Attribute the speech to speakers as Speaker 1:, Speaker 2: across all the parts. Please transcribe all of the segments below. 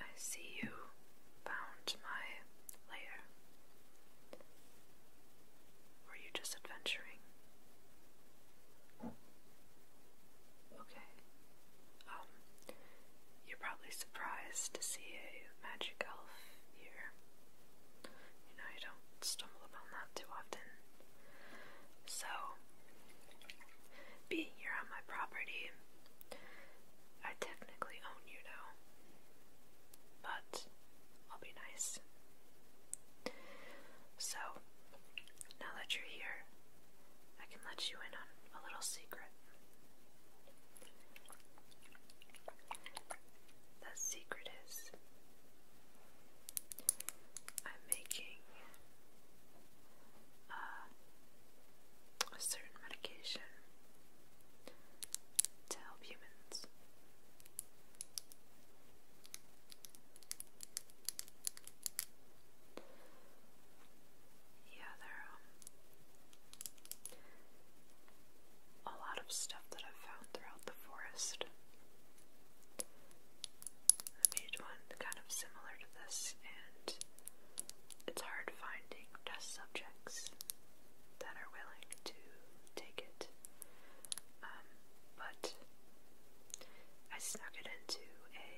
Speaker 1: I see you found my lair. Were you just adventuring? Okay. Um, you're probably surprised to see a magic elf here. You know, you don't stumble upon that too often. So, being here on my property, I technically own you now. But I'll be nice. So, now that you're here, I can let you in on a little secret. The secret is I'm making uh, a certain medication to help humans. Yeah, there are um, a lot of stuff that I've found throughout the forest. I made one kind of similar to this, and it's hard finding test subjects that are willing to take it. Um, but I snuck it into a,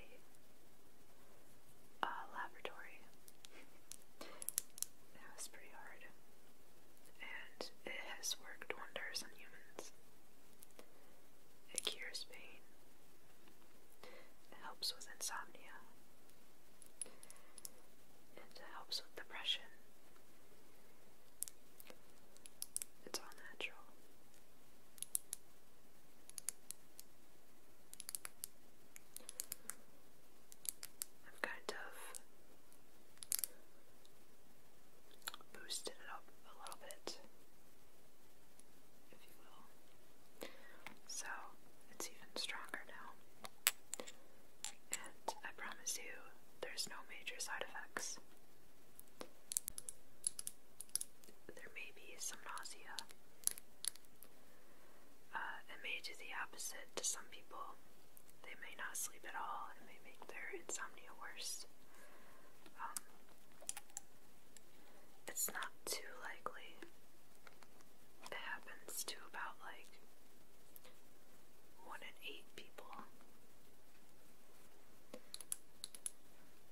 Speaker 1: laboratory. that was pretty hard. And it has worked wonders on humans. It cures pain. It helps with insomnia it helps with depression. It's all natural. I've kind of boosted it up a little bit, if you will. So it's even stronger now. And I promise you, there's no major side effects. There may be some nausea. Uh, it may do the opposite to some people. They may not sleep at all, it may make their insomnia worse. Um, it's not too likely, it happens to about like one in eight people.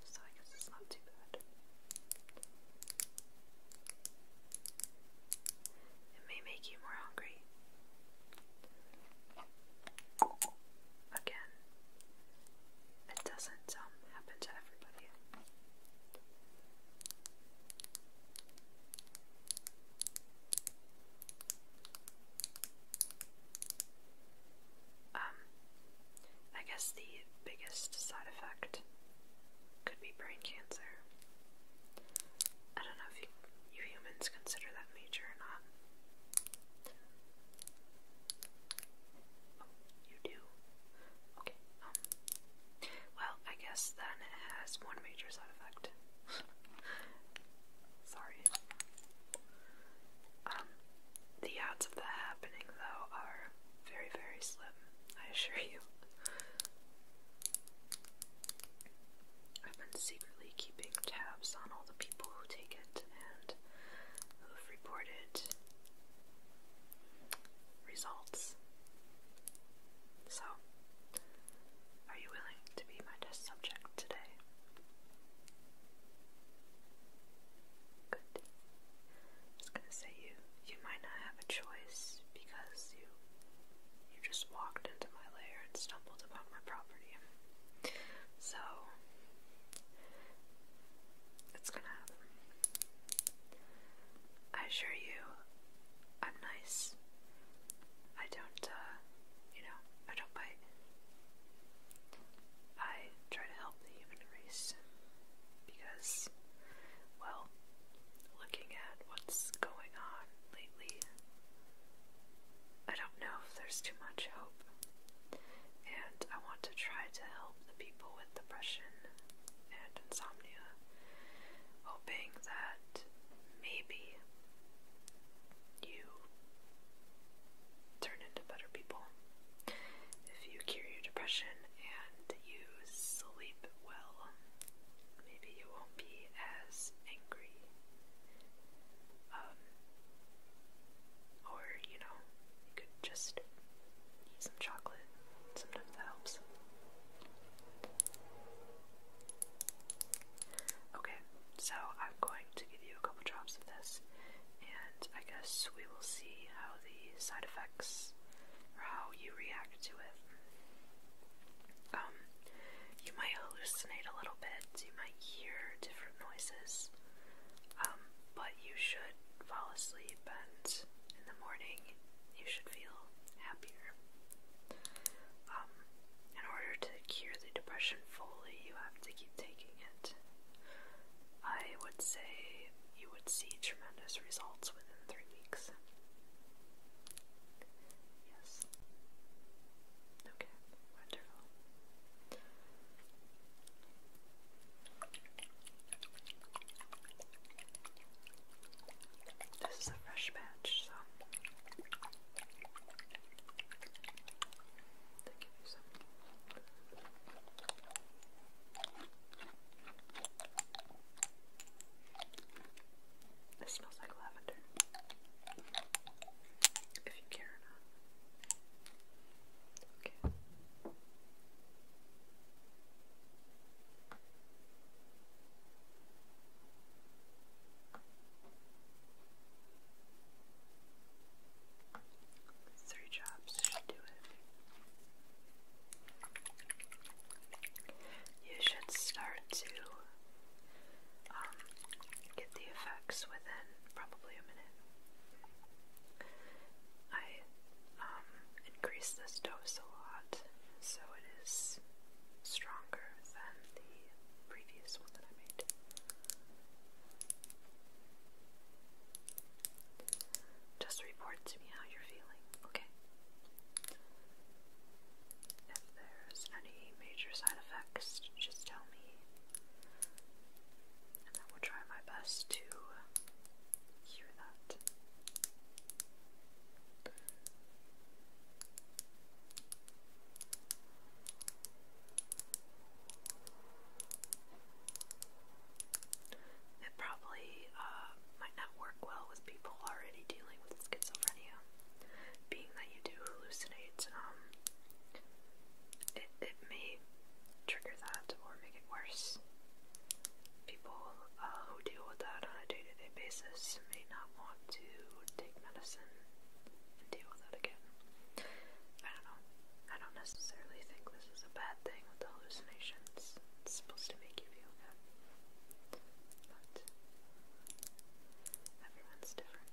Speaker 1: So I guess it's not too bad. It may make you more hungry. Again, it doesn't um, happen to everybody. Um, I guess the biggest side effect could be brain cancer. I don't know if you, you humans consider that major or not. Oh, you do? Okay, um, well, I guess then it has one major side effect. Sorry. Um, the odds of that happening, though, are very, very slim, I assure you. I've been secretly keeping tabs on all the people who take it and who've reported results. So, are you willing to be my test subject today? Good. I gonna say you you might not have a choice because you you just walked into my lair and stumbled upon my property. So it's gonna happen. I assure you, I'm nice. I don't, uh, you know, I don't bite. I try to help the human race because, well, looking at what's going on lately, I don't know if there's too much hope. And I want to try to help the people with depression and insomnia, hoping that maybe you turn into better people if you cure your depression and you sleep well. Maybe you won't be as angry. Um, or, you know, you could just eat some chocolate. Sometimes that helps. Okay, so I'm going to give you a couple drops of this, and I guess we will see how the side effects or how you react to it. Um, you might hallucinate a little bit, you might hear different noises, um, but you should fall asleep and in the morning you should feel happier um, in order to cure the depression fully, you have to keep taking it. I would say you would see tremendous results within three weeks. Yes. Okay, wonderful. This is a fresh batch, so This smells like lavender. If you care or Okay. Three jobs should do it. You should start to um, get the effects within probably a minute. I um, increased this dose a lot, so it is stronger than the previous one that I made. Just report to me how you're feeling, okay? If there's any major side effects, just tell me. And I will try my best to cure that. It probably uh, might not work well with people already dealing with schizophrenia, being that you do hallucinate. Um, it it may trigger that or make it worse. People uh, who deal with that on a day to -day basis person may not want to take medicine and deal with it again. I don't know. I don't necessarily think this is a bad thing the hallucinations. supposed to make you feel good. But everyone's different.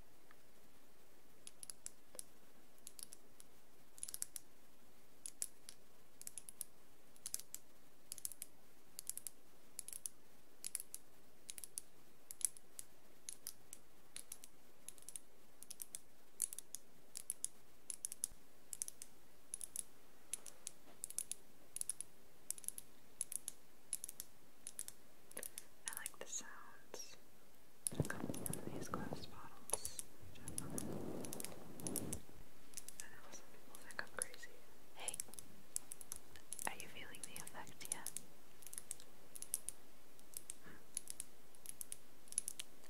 Speaker 1: I like the sounds that from these glass bottles, which I people think I'm crazy. Hey, are you feeling the effect yet? Hmm.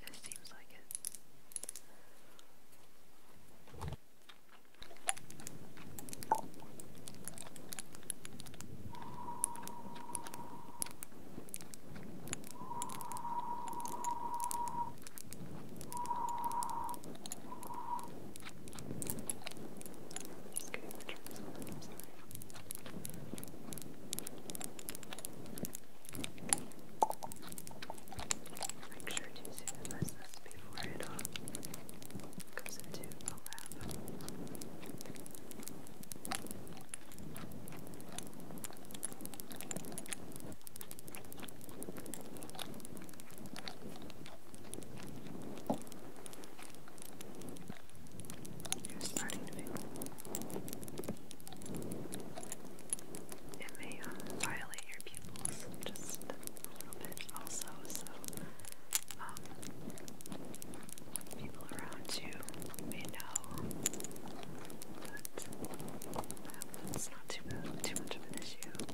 Speaker 1: It seems like it. I'm just getting the trips on, I'm sorry. Make sure to sanitize this before it all goes into a lab. Okay, you it may um, um, violate your pupils just a little bit also, so people around you may know, but it's not too, too much of an issue.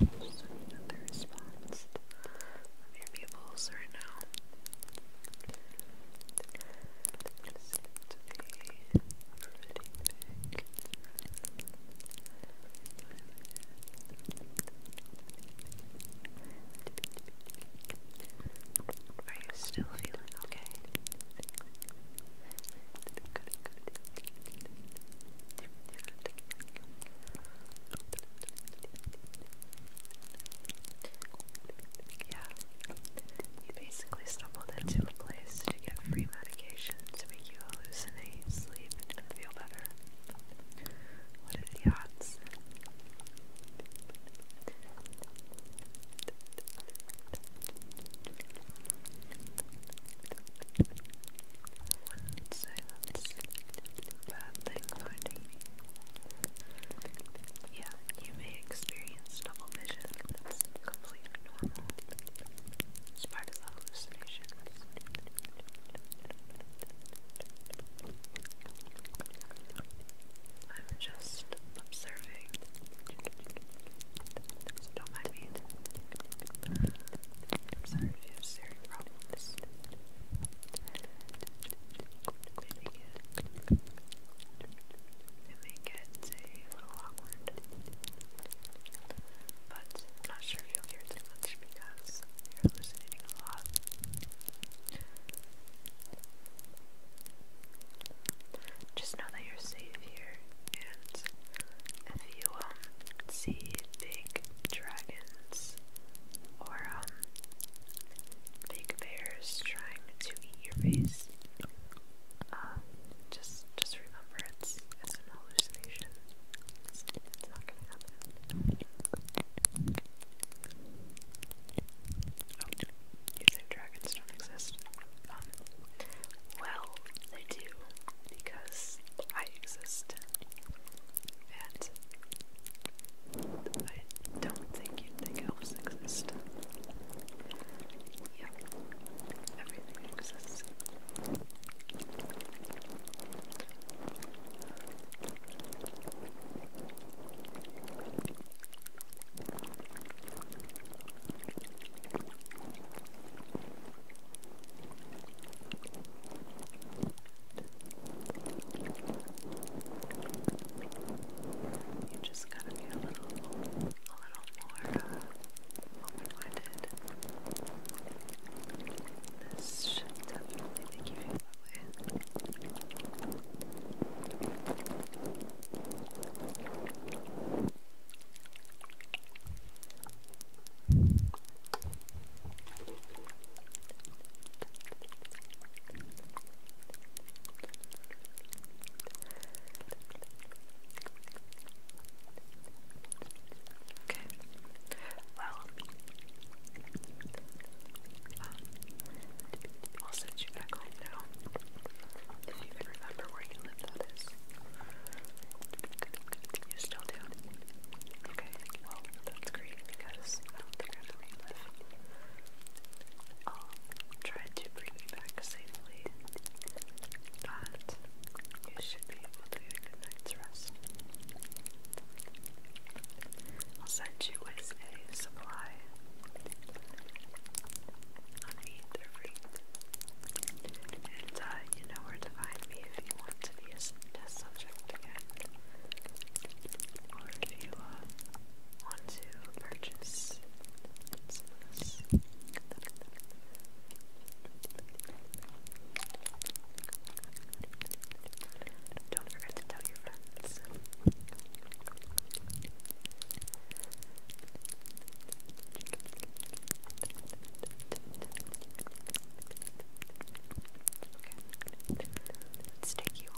Speaker 1: another response your pupils right now to Are you still feeling okay? Yeah, you basically stumbled into a place to get free medication to make you hallucinate, sleep, and feel better. What are the odds? would bad thing Yeah, you may experience double That's completely normal. It's part of the hallucination. I'm just observing. don't mind me. I'm sorry if you have serious problems. it may get a little awkward. But I'm not sure if you'll hear too much because you're hallucinating a lot. Just know that you're safe here, and if you um see big dragons or um big bears trying to eat your face, um, just just remember it's it's an hallucination. It's, it's not gonna happen. Oh, you think dragons don't exist? Um, well, they do because I exist, and I don't think you'd think Yep, everything exists. You just gotta be a little, a little more uh, open-minded. This should definitely make you feel that way. Thank Okay. Well, um, I'll send you back home now. If you remember where you live, that is. You still do? Okay, well, that's great because I don't will try to bring you back safely but you should be able to get a night's I'll send you with a supply on me, they're And uh, you know where to find me if you want to be a test subject again. Or if you uh, want to purchase some don't forget to tell your friends. Okay. you